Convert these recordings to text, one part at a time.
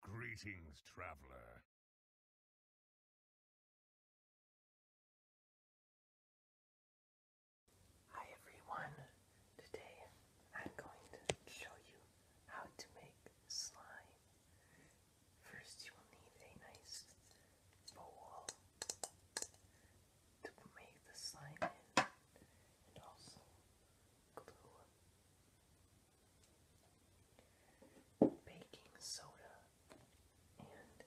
Greetings, traveler. Hi everyone. Today I'm going to show you how to make slime. First you will need a nice bowl to make the slime in and also glue, baking soda, and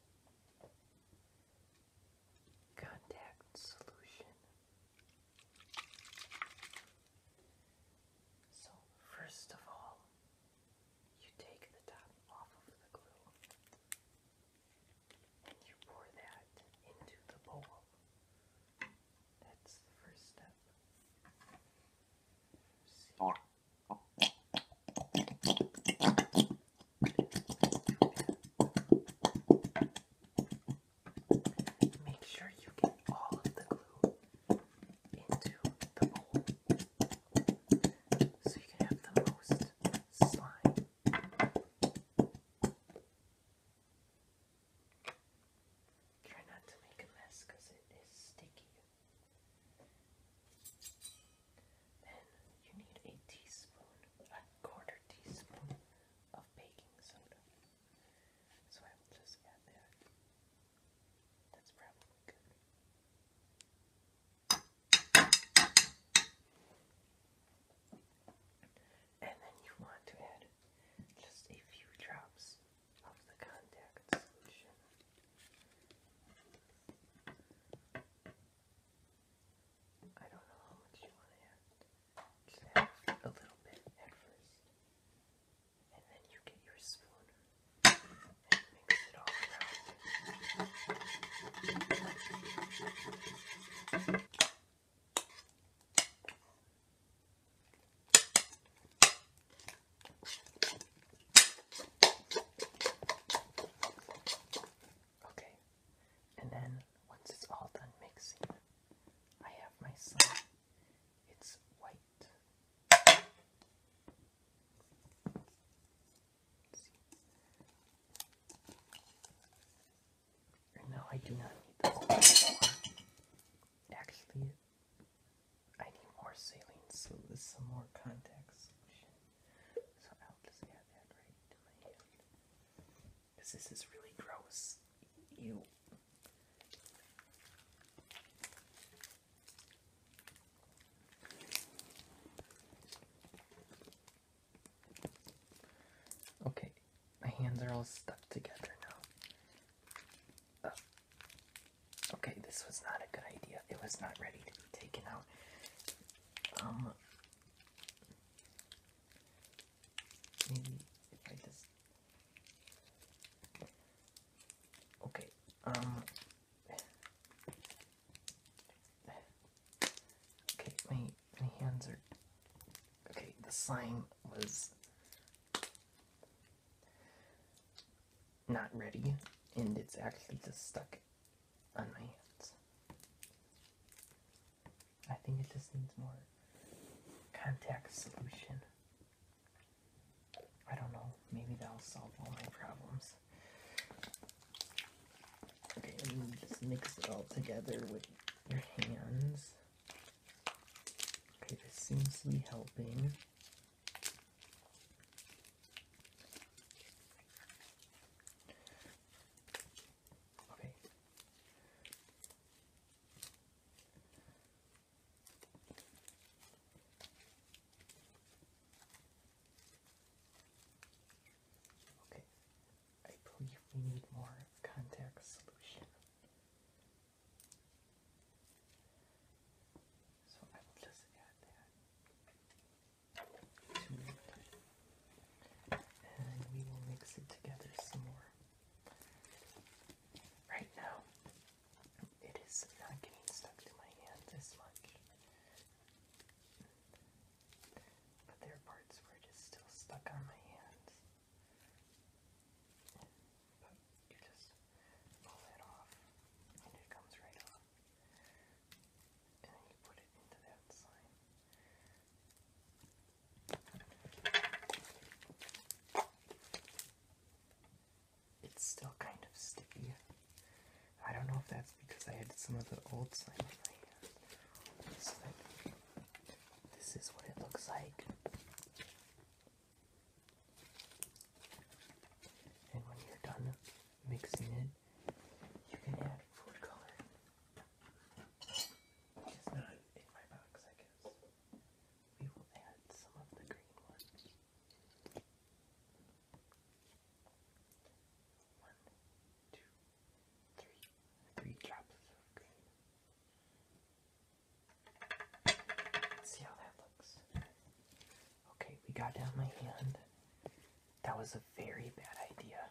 contact solution. So, first of all, you take the top off of the glue and you pour that into the bowl that's the first step. Make sure you get all of the glue into the bowl so you can have the most slime Try not to make a mess because it is sticky. Then you need a teaspoon, a quarter teaspoon of baking soda. So I will just add that. That's probably good. And then you want to add just a few drops of the contact solution. I don't know how much you want to add. Just add a little bit at first. And then you get your spoon and mix it all around. Okay, and then once it's all done mixing, I have my slime. It's white no, I do not need this Actually, I need more saline, so there's some more contact solution. So I'll just add that right to my hand. Because this is really gross. Ew. Okay, my hands are all stuck together now. Oh. Okay, this was not a good idea. It was not ready to be taken out. Um, maybe I just. Okay, um, Okay, my, my hands are... Okay, the sign was not ready, and it's actually just stuck on my hands. I think it just needs more contact solution. I don't know, maybe that'll solve all my problems. Okay, and just mix it all together with your hands. Okay, this seems to be helping. Okay. Okay, I believe we need more contact solution. So I will just add that to it. And we will mix it together some more. Right now, it is not getting stuck to my hand this much. But there are parts where it is still stuck on my hands. But you just pull that off and it comes right off. And then you put it into that slime. It's still kind of sticky. I don't know if that's because I had some of the old slime this is what it looks like. And when you're done mixing it, you can add food coloring. It's not in my box, we will add some of the green ones. One, two, three, three drops of green. see how that looks. Okay, we got down my hand. That was a very bad idea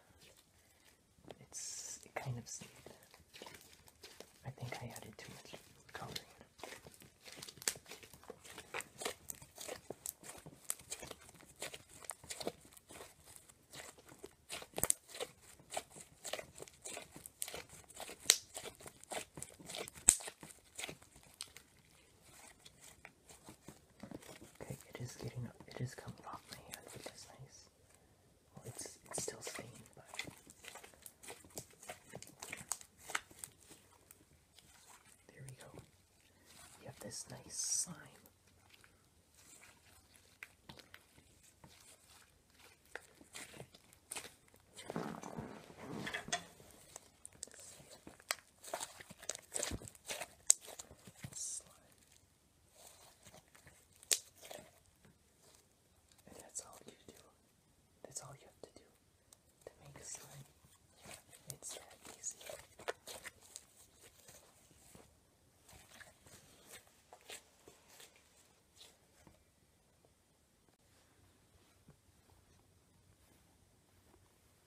it's kind of stayed. I think I added too much coloring. Okay, it is getting it is coming off my hand, which is nice it's, still stained, but. There we go. You have this nice sign. And that's all you do. That's all you have to do to make slime. It's that easy.